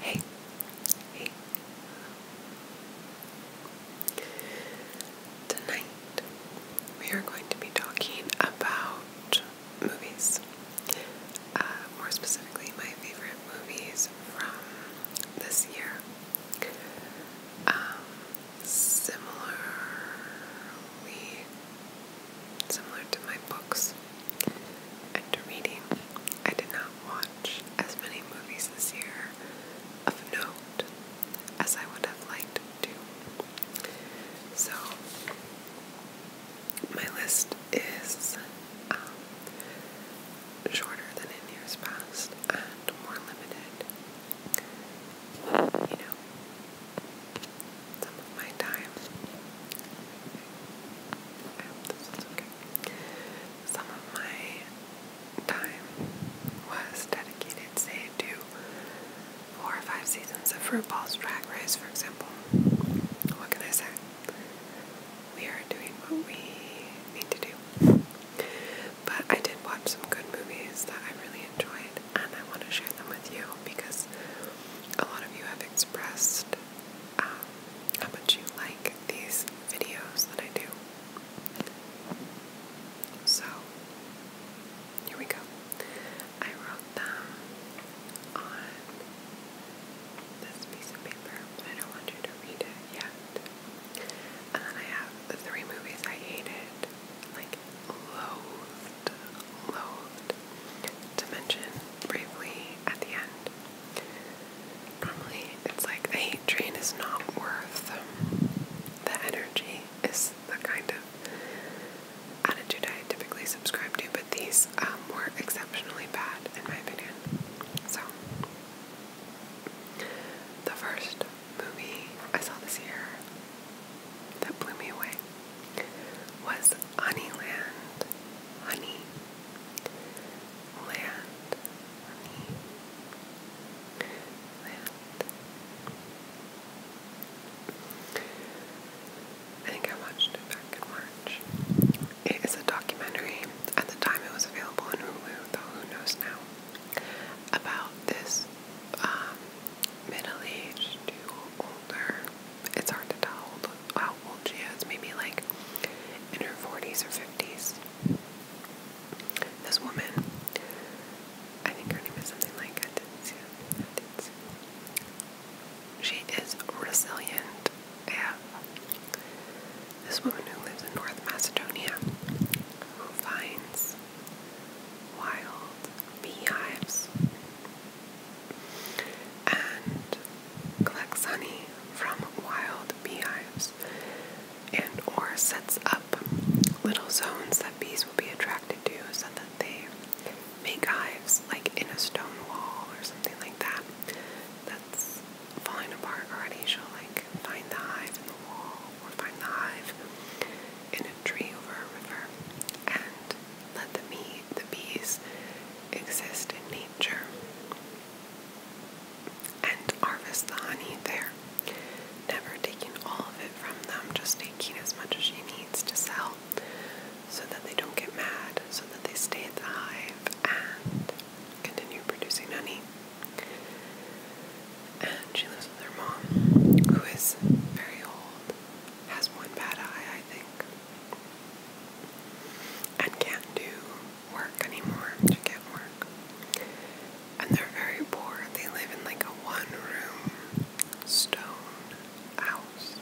Hey, Tonight we are going to be talking about movies. Uh, more specifically, my favorite movies from this year. Um, similar, similar to my books, and reading. I did not watch as many movies this year of note as I would have liked to. So, my list is um, shorter than in years past and more limited. You know, some of my time some of my time was dedicated, say, to four or five seasons of RuPaul's Drag Race, for example. What can I say? We are doing what we need to do. But I did watch some good movies that I really enjoyed, and I want to share them with you because a lot of you have expressed how much you like these videos that I do. So, here we go. I wrote them on this piece of paper, I don't want you to read it yet. And then I have the three movies I hated, like loathed, loathed, to mention briefly at the end. Normally, it's like the hate train is not worth the energy, is the kind of attitude I typically subscribe to, but these um, were exceptionally bad in my opinion. So, the first movie I saw this year that blew me away was Honeyland. Honey I think I watched back in March. It is a documentary. At the time, it was available on Hulu, though who knows now. About this um, middle-aged to older it's hard to tell how old she is, maybe like in her 40s or 50s. This woman, I think her name is something like Atencio. She is resilient. Yeah. This woman who lives in North Macedonia, who finds wild beehives and collects honey from wild beehives and or sets up little zones that bees will be attracted to so that they make hives like in a stone wall or something like that that's falling apart already. She'll like find the hive in the wall or find the hive in a tree over a river and let the, meat, the bees exist in nature and harvest the honey there. Never taking all of it from them, just taking as much as she needs to sell so that they don't get mad, so that they stay at the hive and continue producing honey. And she lives with her mom, who is very old, has one bad eye, I think and can't do work anymore. can't work. And they're very poor. They live in like a one room stone house.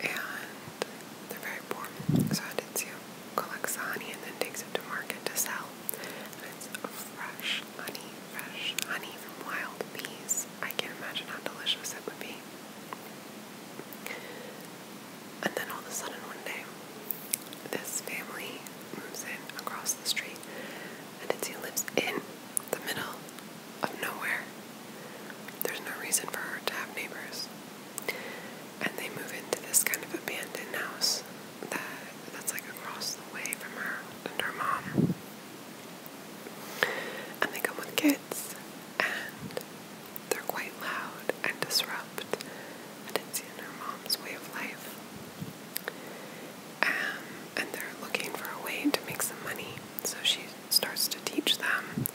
And they're very poor. So Aditya collects the honey and then takes it to market to sell. And it's fresh honey, fresh honey from wild bees. I can't imagine how delicious it would be. And then all of a sudden, one day, this family moves in across the street, and Itzy lives in the middle of nowhere. There's no reason for her to have neighbors. And they move into this kind of abandoned house that that's like across the way from her and her mom. And they come with kids, and they're quite loud and disrupt, and it's in her mom's way of life. Um, and they're looking for a way to make some money, so she starts to teach them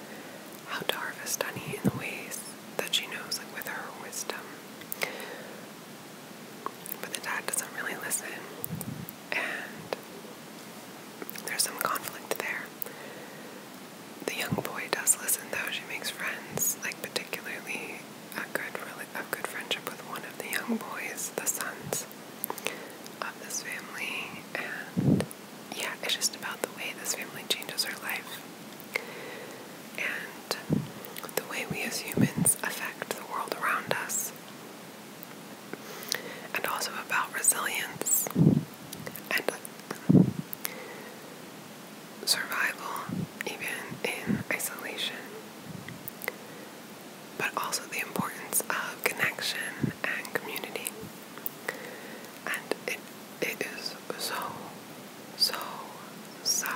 how to harvest honey in the ways that she knows, like with her wisdom. But the dad doesn't really listen, and there's some conflict there the young boy does listen though. She makes friends, like particularly a good really a good friendship with one of the young boys, the sons of this family, and yeah, it's just about the way this family changes her life and the way we as humans affect the world around us. And also about resilience and survival, even in isolation, but also the importance of connection and community. And it, it is so, so, so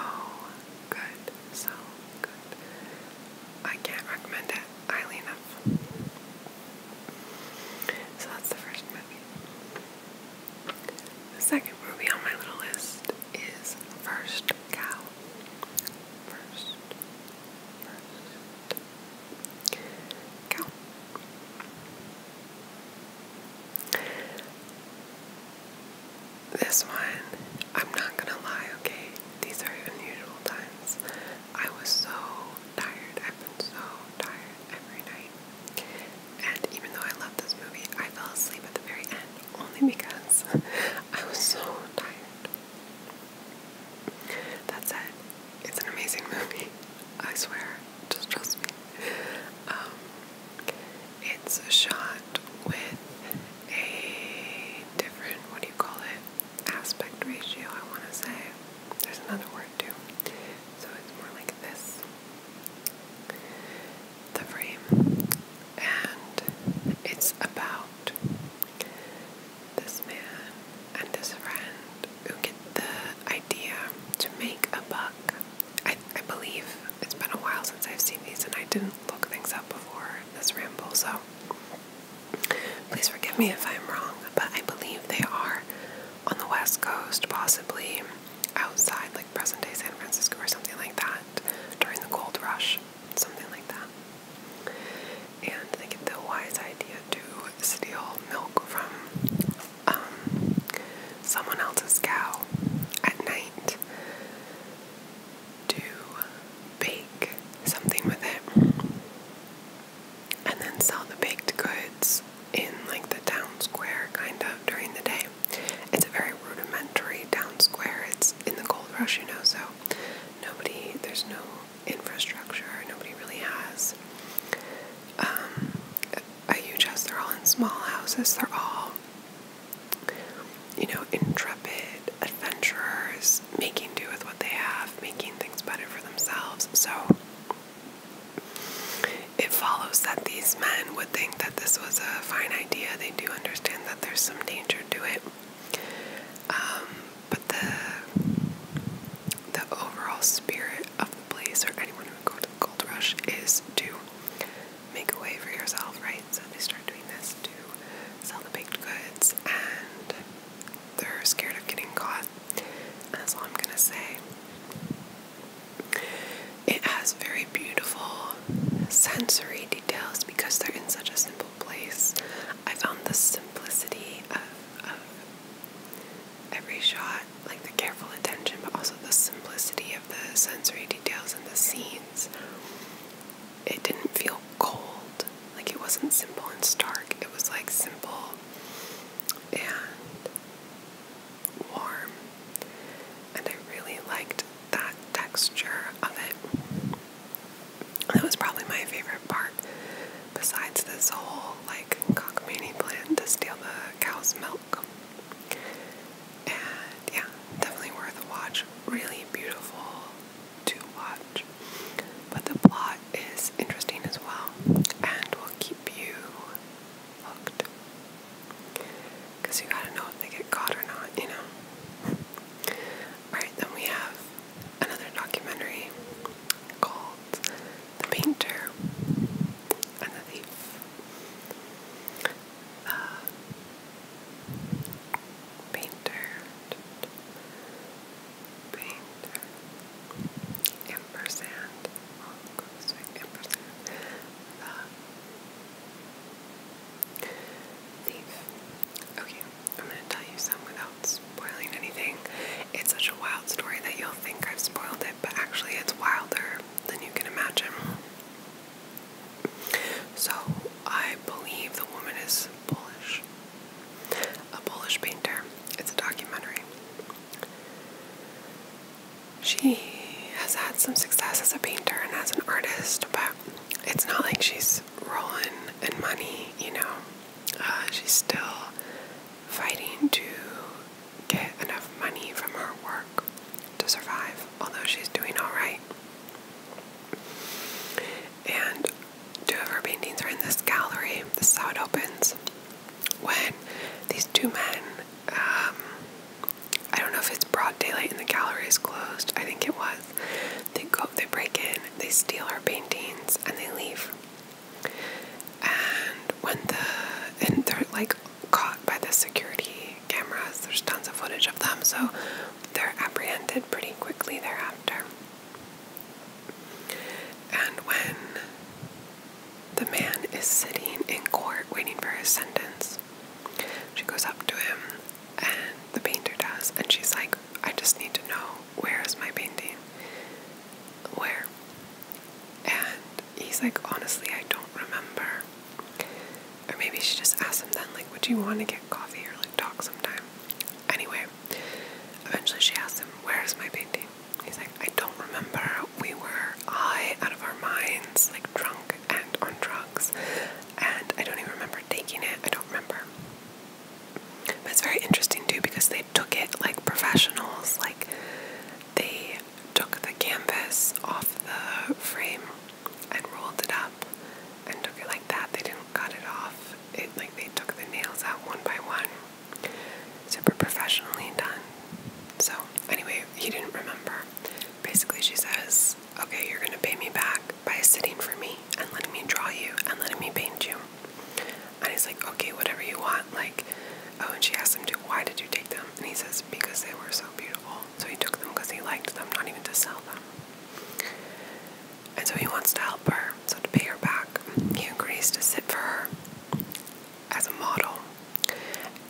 good. So good. I can't recommend it highly enough. So that's the first movie. The second movie on my little list is First Cow. First, first cow. This one, I'm not gonna lie, okay? These are unusual times. I was so tired. I've been so tired every night. And even though I love this movie, I fell asleep at the very end only because I was so tired. That said, it's an amazing movie. I swear. Just trust me. Um, it's shot with a different, what do you call it, aspect ratio, I want to say. There's another word too. So it's more like this the frame. And it's about this man and this friend who get the idea to make a buck. I, I believe it's been a while since I've seen these and I didn't look things up before this ramble, so please forgive me if I'm wrong, but I believe they are on the west coast, possibly outside like present day San Francisco or something like that during the gold rush, something like that. And they get the wise idea to steal milk from um, someone else's cow at night to bake something with it and then sell the baked goods in like the town square kind of during the day. It's a very rudimentary town square. It's in the gold rush, you know, so nobody, there's no infrastructure, nobody really has um, a huge house. They're all in small houses. They're all, you know, intrepid adventurers making do with what they have, making things better for themselves. So it follows that these men would think that this was a fine idea. They do understand that there's some danger to it. Um, but the the overall spirit of the place or anyone who would go to the gold rush is to make a way for yourself, right? So they start doing this to sell the baked goods and they're scared of getting caught. That's all I'm gonna say. It has very beautiful sensory details because they're in such a simple place. I found the simplicity of, every shot, like the careful attention, but also the simplicity of the sensory details in the scenes. It didn't feel cold, like it wasn't simple and stark, it was like simple and warm, and I really liked that texture of it. That was probably my favorite part, besides this whole like cockamamie plan to steal the cow's milk. And yeah, definitely worth a watch. Really beautiful to watch, but the plot is interesting as well, and we'll keep keep you you gotta know if they get caught or not, you know? Alright, then we have another documentary called The Painter and the Thief. The uh, Painter. Painter. Yeah, ampersand, Okay, I'm going to tell you some without spoiling anything. It's such a wild story that you'll think I've spoiled it, but actually it's wilder than you can imagine. So, I believe the woman is Polish. A Polish painter. It's a documentary. She has had some success as a painter and as an artist, but it's not like she's rolling in money, you know. Uh, she's still fighting to get enough money from her work to survive, although she's doing alright. And two of her paintings are in this gallery. This is how it opens when these two men, um, I don't know if it's broad daylight and the gallery is closed, I think it was, they go, they break in, they steal our paintings, and they leave. And when the, and they're like caught by the security cameras, there's tons of footage of them, so they're apprehended pretty quickly thereafter. And when the man is sitting in court waiting for his sentence. She goes up to him, and the painter does, and she's like, I just need to know where is my painting? Where? And he's like, honestly, I don't remember. Or maybe she just asked him then, like, would you want to get coffee or like talk sometime? Anyway, eventually she asks him, where is my painting? He's like, I don't remember. We were high out of our minds, like drunk and on drugs, and I don't even remember taking it. I don't remember. But it's very interesting too because they took it like professionals, like they took the canvas off the frame and rolled it up and took it like that. They didn't cut it off. It like they took the nails out one by one super professionally done. So, anyway, he didn't remember. Basically, she says, Okay, you're gonna pay me back by sitting for me and letting me draw you and letting me paint you. And he's like, Okay, whatever you want. Like, oh, and she asks him, to, Why did you take them? And he says, Because they were so beautiful. So he took them because he liked them, not even to sell them. And so he wants to help her. So, to pay her back, he agrees to sit for her as a model.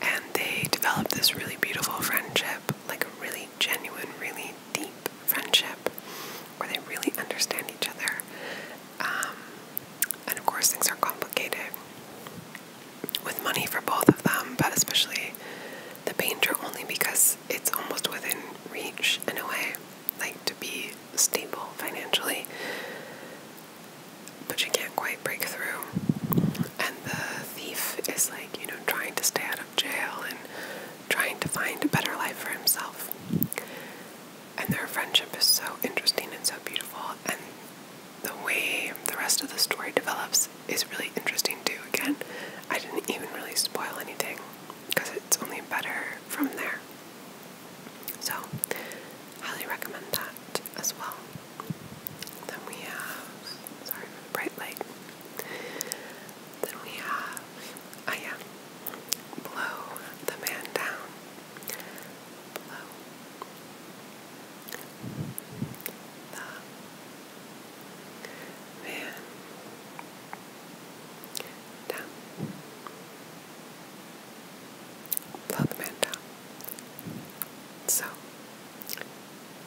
And they develop this really beautiful friendship, like a really genuine, really deep friendship where they really understand each other. Um, and of course, things are complicated with money for both of them, but especially the painter only because it's almost within reach in a way, like to be stable financially but she can't quite break through. And the thief is like, you know, trying to stay out of jail and trying to find a better life for himself. And their friendship is so interesting and so beautiful. And the way the rest of the story develops is really interesting too. Again, I didn't even really spoil anything because it's only better from there. So, highly recommend that as well. Then we have, sorry bright light. Then we have, oh yeah, Blow the Man Down. Blow the Man Down. Love Manta. So,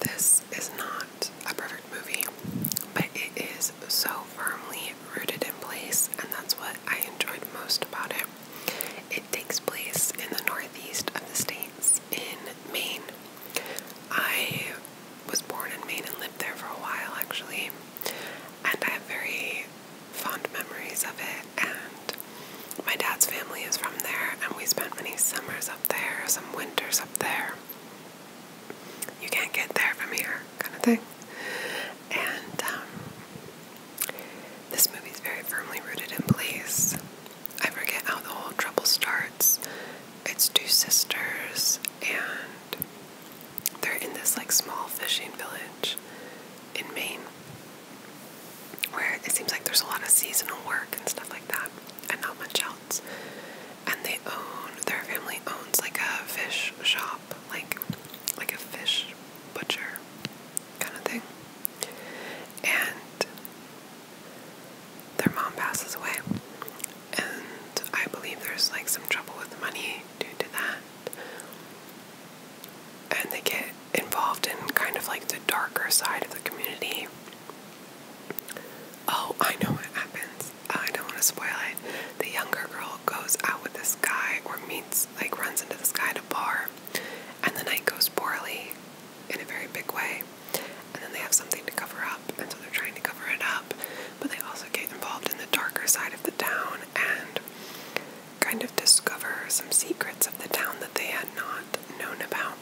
this is not a perfect movie, but it is so firmly rooted in place, and that's what I enjoyed most about it. It takes place in the northeast of the states in Maine. I was born in Maine and lived there for a while actually, and I have very fond memories of it. And my dad's family is from there, and we spent many summers up there, some winters up there. You can't get there from here, kind of thing. And um, this movie is very firmly rooted in place. I forget how the whole trouble starts. It's two sisters, and they're in this like small fishing village in Maine where it seems like there's a lot of seasonal work and stuff like that, and not much else. And they own their family owns like a fish shop, like like a fish butcher kind of thing. And their mom passes away, and I believe there's like some trouble with money due to that and they get involved in kind of like the darker side of the community. Oh, I know what happens. I don't want to spoil it. The younger girl goes out with this guy or meets, like, runs into this guy at a bar, and the night goes poorly in a very big way. And then they have something to cover up, and so they're trying to cover it up, but they also get involved in the darker side of the town, and kind of discover some secrets of the town that they had not known about.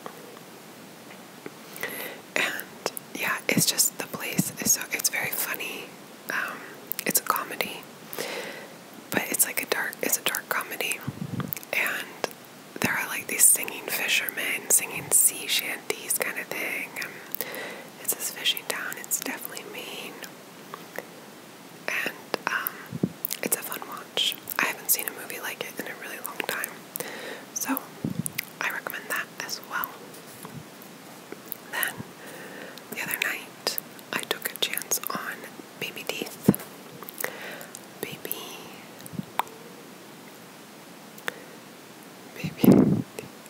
And yeah, it's just the place is so it's very funny. Um, it's a comedy, but it's like a dark it's a dark comedy, and there are like these singing fishermen singing sea shanties kind of thing. it's this fishing town. It's definitely mean and um, it's a fun watch. I haven't seen a movie like it in a really long time, so I recommend that as well. Then the other night, I took a chance on Baby Teeth. Baby. Baby.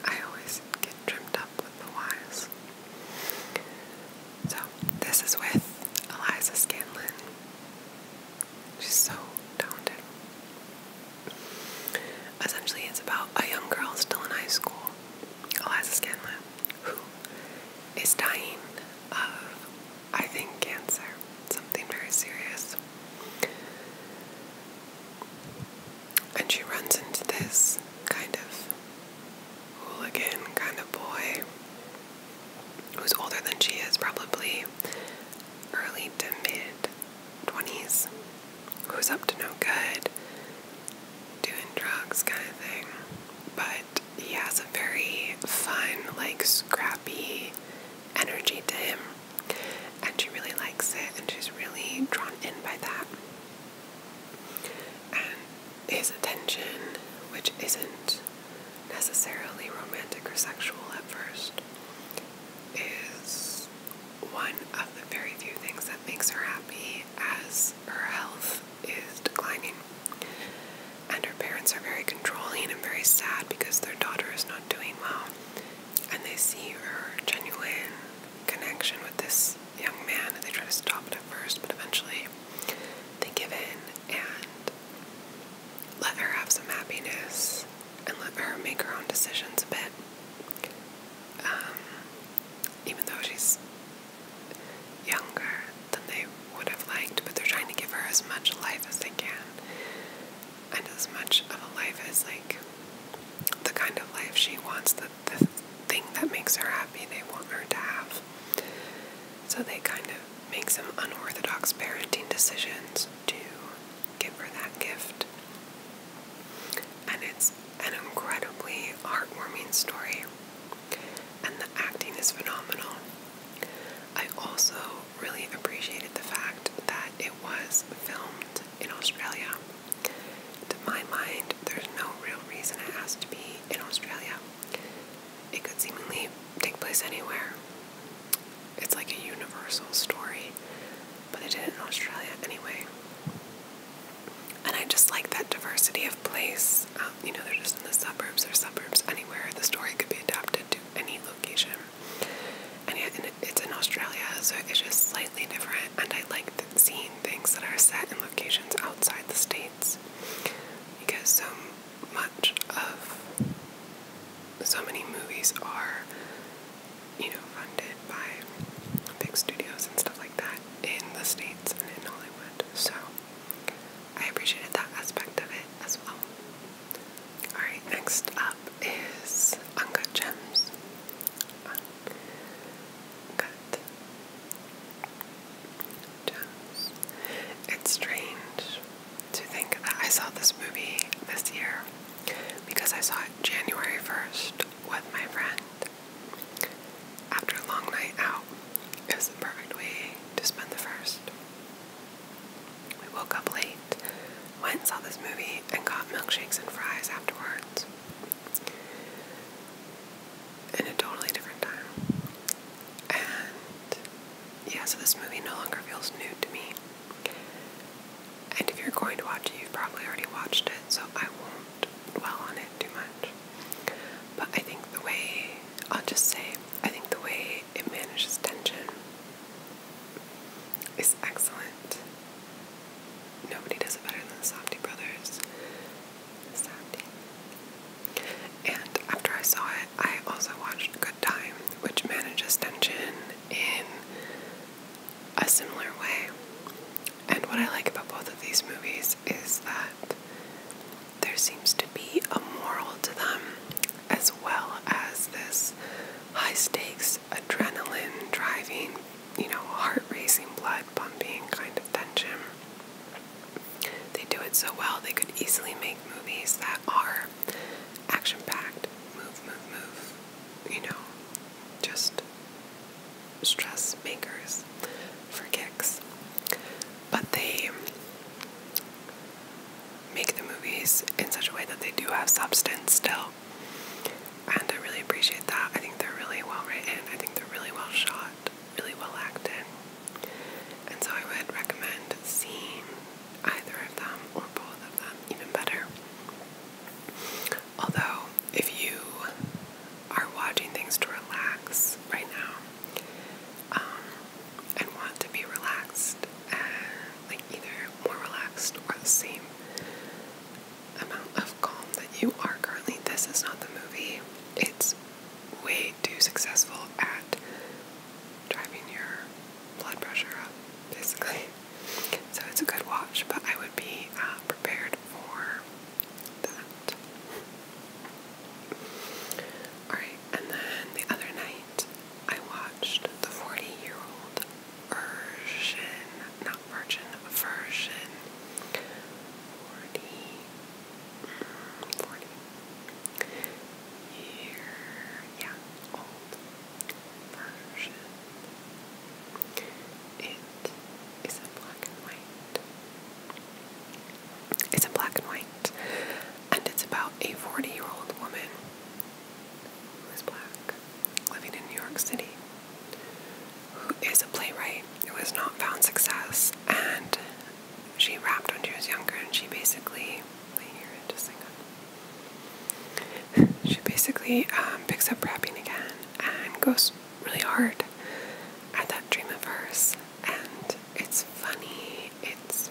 I always get trimmed up with the Y's. So, this is with Eliza Scanlon. She's so talented. Essentially, it's about a young girl still in high school, Eliza Scanlon, who is dying of, I think, cancer, something very serious. And she runs into this kind of hooligan kind of boy who's older than she is, probably early to mid 20s, who's up to no good, doing drugs kind of thing. But he has a very fun, like scrappy energy to him, and she really likes it, and she's really drawn in by that and his attention, which isn't necessarily romantic or sexual at first, is one of the very few things that makes her happy as her health is declining. And her parents are very controlling and very sad because their daughter is not doing well. And they see her genuine connection with this young man and they try to stop it at first, but eventually they give in and let her have some happiness and let her make her own decisions a bit. Um, even though she's younger than they would have liked, but they're trying to give her as much life as they can and as much of a life as, like, the kind of life she wants, the the thing that makes her happy they want her to have. So they kind of make some unorthodox parenting decisions to give her that gift. And it's an incredibly heartwarming story, and the acting is phenomenal. I also really appreciated the fact that it was filmed in Australia. To my mind, there's no real reason it has to be in Australia. It could seemingly take place anywhere. It's like a universal story, but it did in Australia anyway. And I just like that diversity of place. Um, you know, they're just in the suburbs, they're suburbs anywhere. The story could be adapted to any location. And yet, it's in Australia, so it's just slightly different. And I like seeing things that are set in locations outside the state because so much of so many movies are, you know, funded by big studios and stuff like that in the States and in Hollywood. So I appreciated that aspect of it as well. Alright, next up is Uncut Gems. It's strange to think that I saw this movie this year because I saw it January 1st with my friend after a long night out. It was the perfect way to spend the first. We woke up late, went and saw this movie, and got milkshakes and fries afterwards in a totally different time. And yeah, so this movie no longer feels new to me. And if you're going to watch it, you've probably already watched it, so I won't dwell on it too much. But I think the way, I'll just say, I think the way it manages tension is excellent. Nobody does it better than the Softy Brothers. And after I saw it, I also watched Good Time, which manages tension in a similar way. And what I like about both of these movies is that there seems to be a moral to them, as well as this high stakes, adrenaline driving, you know, heart racing, blood pumping kind of tension. They do it so well, they could easily make movies that are action packed, move, move, move, you know, just stress makers for kicks. But they make the movies in such a way that they do have substance still. And I really appreciate that. I think they're really well written, I think they're really well shot really well acted. And so I would recommend seeing either of them or both of them even better. Although, if you are watching things to relax right now um, and want to be relaxed, like either more relaxed or the same amount of calm that you are currently, this is not the movie. It's way really successful at driving your blood pressure up, basically. So it's a good watch, but I would be uh, prepared for that. Alright, and then the other night I watched the 40 year old version, not virgin, version. 40 40 year, yeah, old version. It is a black and white. It's a black and white, and it's about a 40 year old woman who is black living in New York City who is a playwright who has not found success and she rapped when she was younger, and she basically. My ear just hang She basically um, picks up rapping again and goes really hard at that dream of hers, and it's funny. It's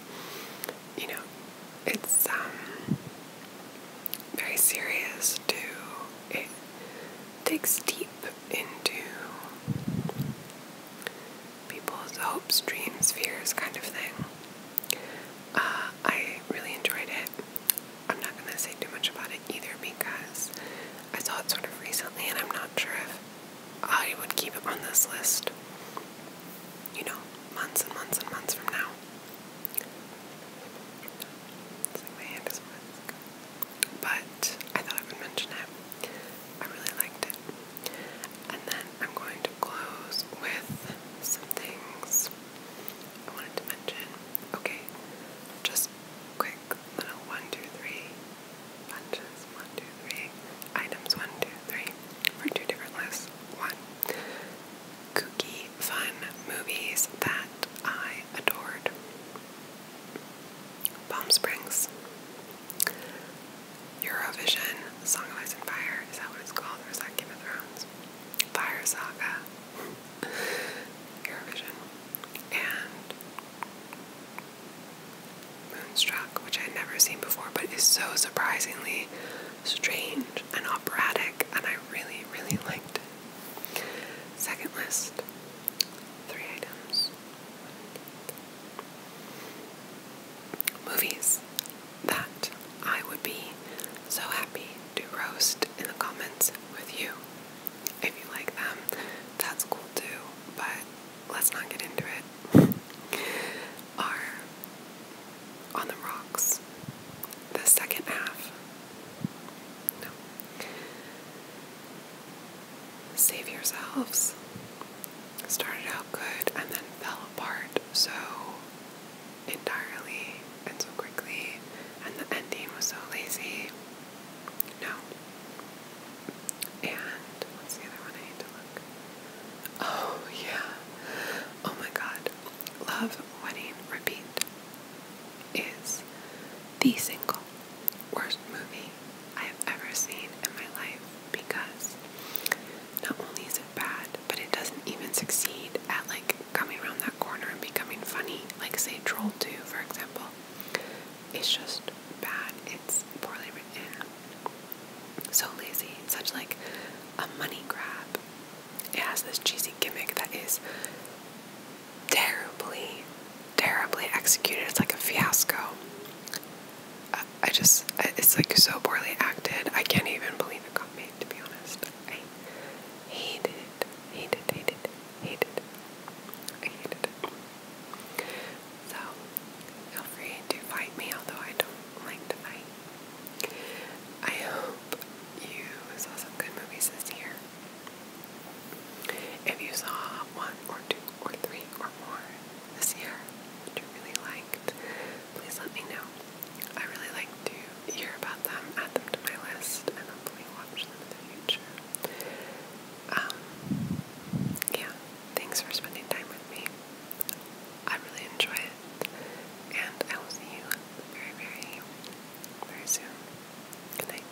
you know, it's um, very serious too. It digs deep into people's hopes, dreams, fears, kind of thing. Uh, I really enjoyed it. I'm not going to say too much about it either because I saw it sort of recently and I'm not sure if I would keep it on this list, you know, months and months and months from now but I thought I would mention it. I really liked it. And then I'm going to close with some things I wanted to mention. Okay, just quick little one, two, three punches. One, two, three items. One, two, three for two different lists. One, kooky, fun movies that I adored. Palm Springs. Eurovision, Song of Ice and Fire, is that what it's called? Or is that Game of Thrones? Fire Saga. Eurovision. And Moonstruck, which I'd never seen before, but is so surprisingly strange and operatic, and I really, really liked it. Second list three items Movies that I would be so happy to roast in the comments with you. If you like them, that's cool too, but let's not get into it. Are On the Rocks, the second half. No save yourselves. Started out good and then fell apart so entirely and so quickly, and the ending was so lazy. No. And what's the other one I need to look? Oh, yeah. Oh my god. Love, Wedding, Repeat is the single worst movie I have ever seen in my life because not only is it bad, but it doesn't even succeed at like coming around that corner and becoming funny, like say Troll 2, for example. It's just bad, it's poorly written, so lazy, such like a money grab. It has this cheesy gimmick that is terribly terribly executed. It's like a fiasco. I, just, it's like so poorly acted. I can't even believe it got made, to be honest. I hate it. Hate it, hate it, hate it. hate it. So, feel free to fight me, although I don't like to fight. I hope you saw some good movies this year. If you saw one or two or three or more this year that you really liked, please let me know. I really like to hear about them, add them to my list, and hopefully watch them in the future. Um, yeah, thanks for spending time with me. I really enjoy it, and I will see you very, very, very soon. Good night.